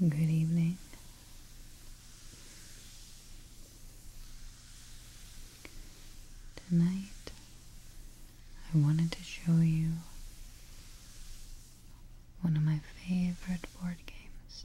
Good evening. Tonight, I wanted to show you one of my favorite board games.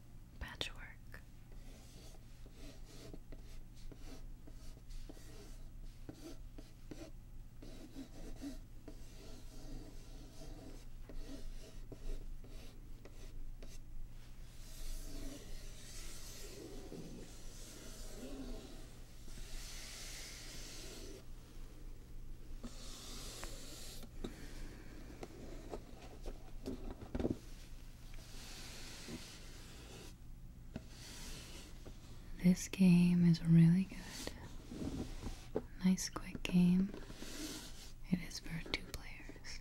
patchwork. This game is really good. Nice quick game. It is for two players.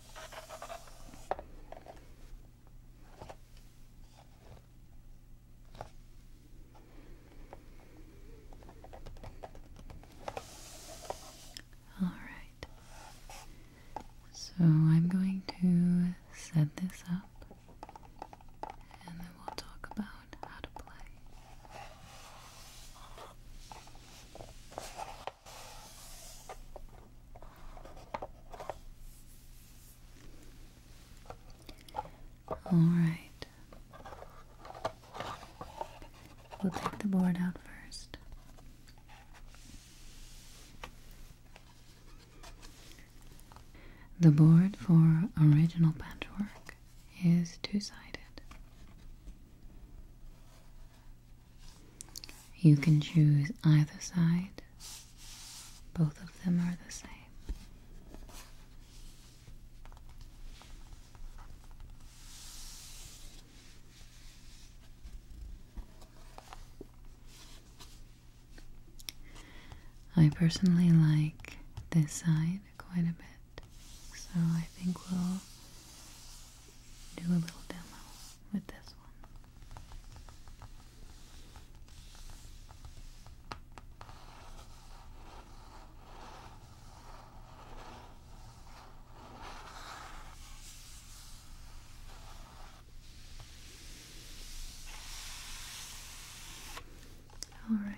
All right. So I'm going to set this up and then we'll talk about how to play. All right. We'll take the board out first. The board for original patchwork is two sided. You can choose either side, both of them are the same. I personally like this side quite a bit, so I think we'll do a little demo with this one. All right.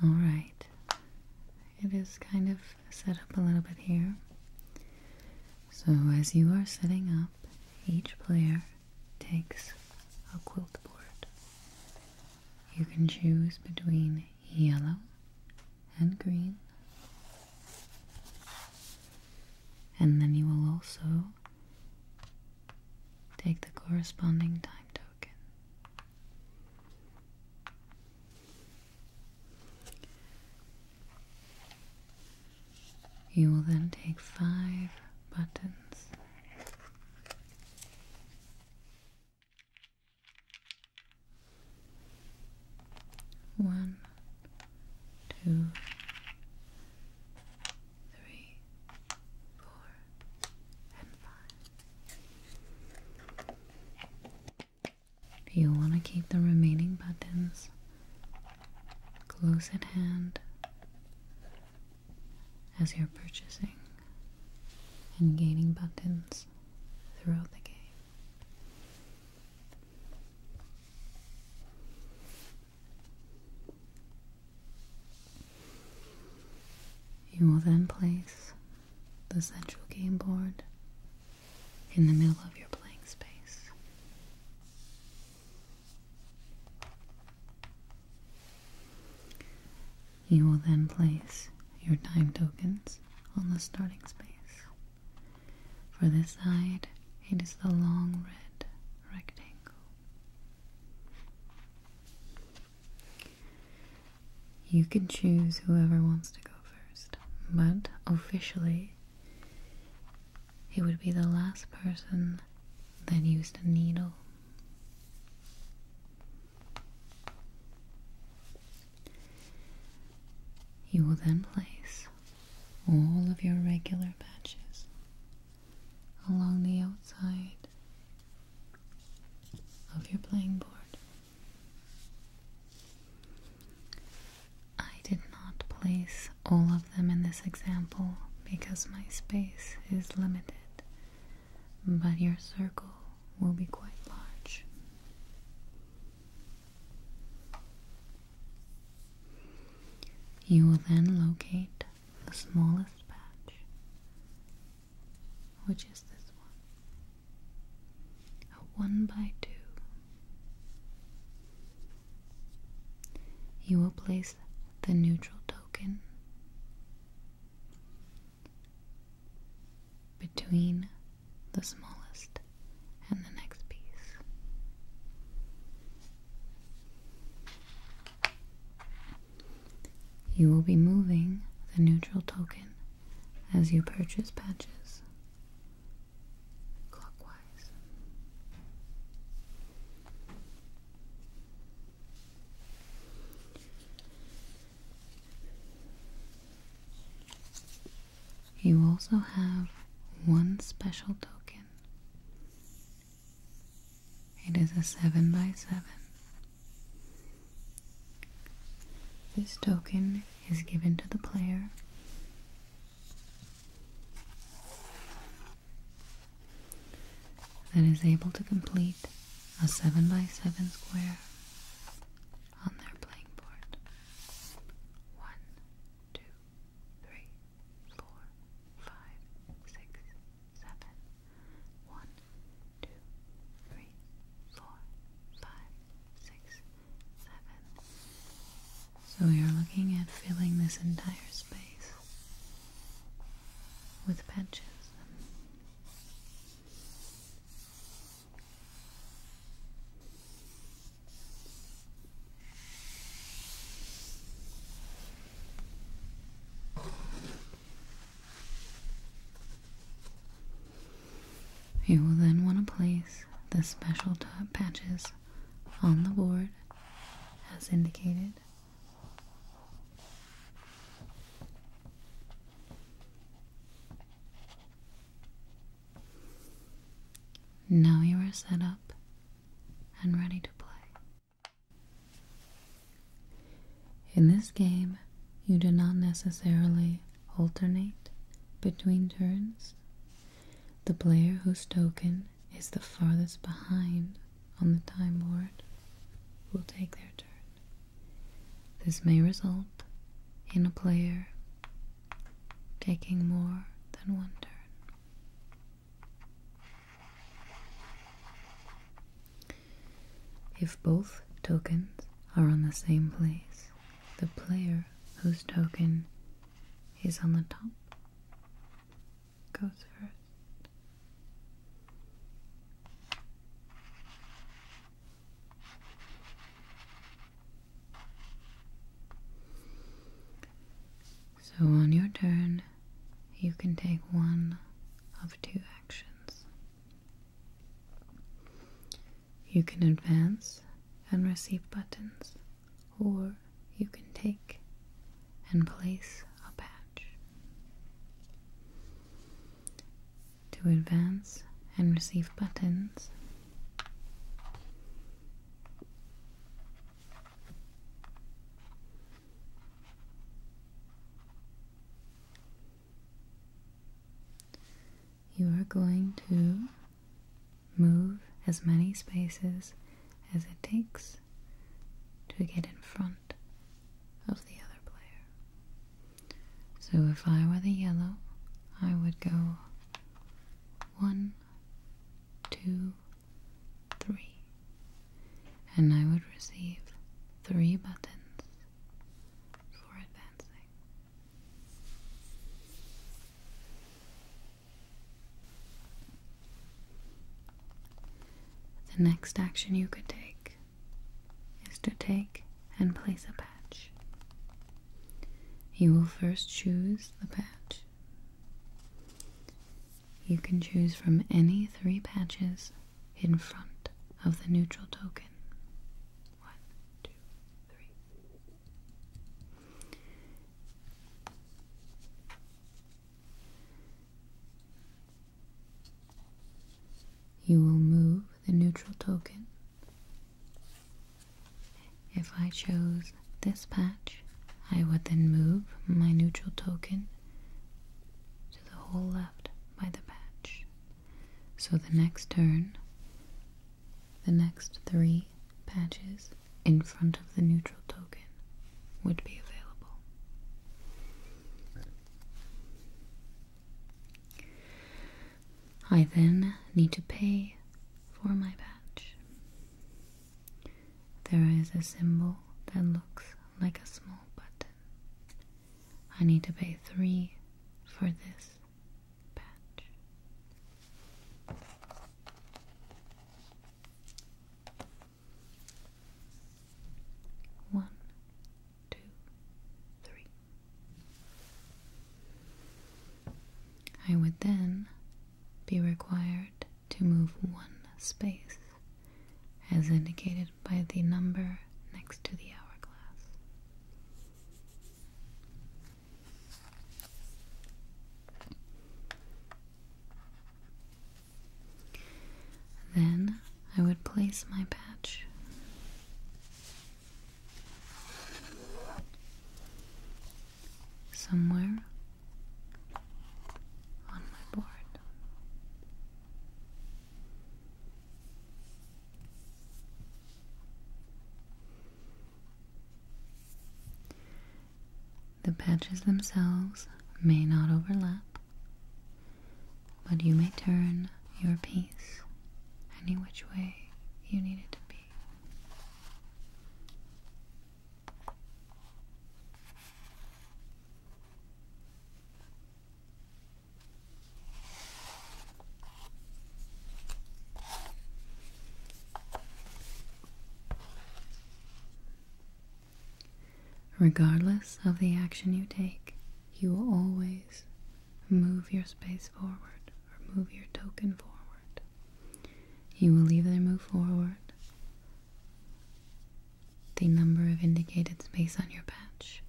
All right. It is kind of set up a little bit here. So, as you are setting up, each player takes a quilt board. You can choose between yellow and green. And then you will also take the corresponding time token. You will then take five buttons. One, two, three, four, and five. You'll want to keep the remaining buttons close at hand as you're purchasing and gaining buttons throughout the game. You will then place the central game board in the middle of your playing space. You will then place your time tokens on the starting space. For this side, it is the long red rectangle. You can choose whoever wants to go first, but officially, it would be the last person that used a needle. You will then place all of your regular patches along the outside of your playing board. I did not place all of them in this example because my space is limited, but your circle will be quite large. You will then locate the smallest patch, which is this one, a one by two. You will place the neutral token between the smallest, and the next piece. You will be moving the neutral token as you purchase patches clockwise. You also have one special token. It is a 7 by 7 This token is given to the player that is able to complete a 7 by 7 square on their playing board. One, two, three, four, five, six, seven. One, two, three, four, five, six, seven. So we are looking at filling this entire space with patches. You will then want to place the special top patches on the board as indicated. Now you are set up and ready to play. In this game, you do not necessarily alternate between turns. The player whose token is the farthest behind on the time board will take their turn. This may result in a player taking more than one turn. If both tokens are on the same place, the player whose token is on the top goes first. So on your turn, you can take one of two actions. You can advance and receive buttons, or you can take and place a patch to advance and receive buttons. You are going to move as many spaces as it takes to get in front of the other player. So if I were the yellow, I would go one, two, three, and I would receive three buttons for advancing. The next action you could take is to take and place a patch. You will first choose the patch. You can choose from any three patches in front of the neutral token. One, two, three. You will move the neutral token. If I chose this patch, I would then move my neutral token to the hole left by the patch. So the next turn, the next three patches in front of the neutral token would be available. I then need to pay for my patch. There is a symbol that looks like a small button. I need to pay three for this patch. One, two, three. I would then be required to move one space as indicated by the number next to the hourglass. Then I would place my patch somewhere on my board. The patches themselves may not overlap, but you may turn your piece any which way you need it to be. Regardless of the action you take, you will always move your space forward or move your token forward. You will either move forward the number of indicated space on your patch,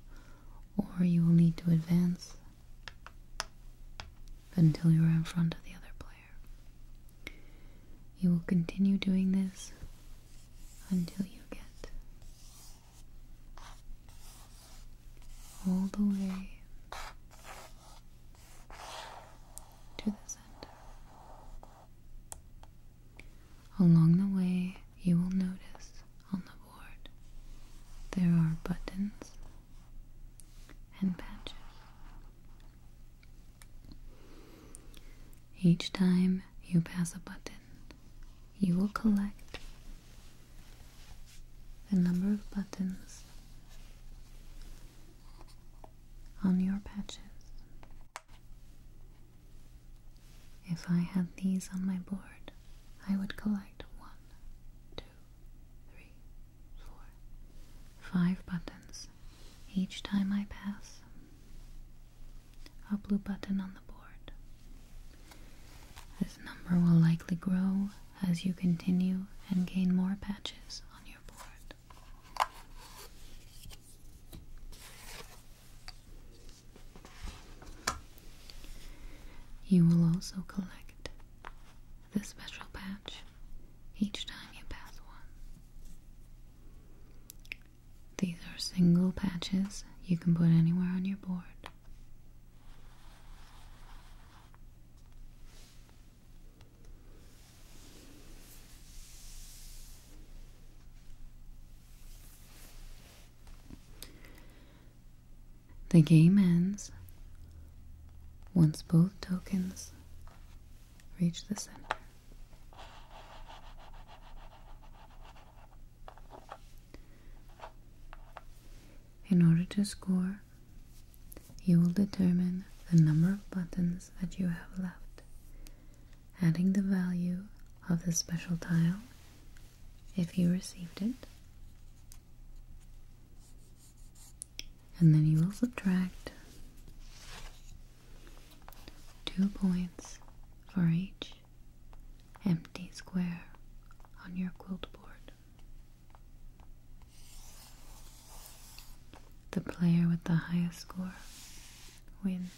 or you will need to advance until you are in front of the other player. You will continue doing this until you get all the way to the center. Along the way, you will notice on the board there are buttons and patches. Each time you pass a button, you will collect the number of buttons on your patches. If I had these on my board, I would collect one, two, three, four, five buttons each time I pass a blue button on the board. This number will likely grow as you continue and gain more patches on your board. You will also collect this special patch each time you pass one. These are single patches you can put anywhere on your board. The game ends once both tokens reach the center. In order to score, you will determine the number of buttons that you have left, adding the value of the special tile if you received it and then you will subtract two points for each empty square on your quilt board. The player with the highest score wins.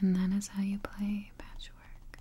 And that is how you play patchwork.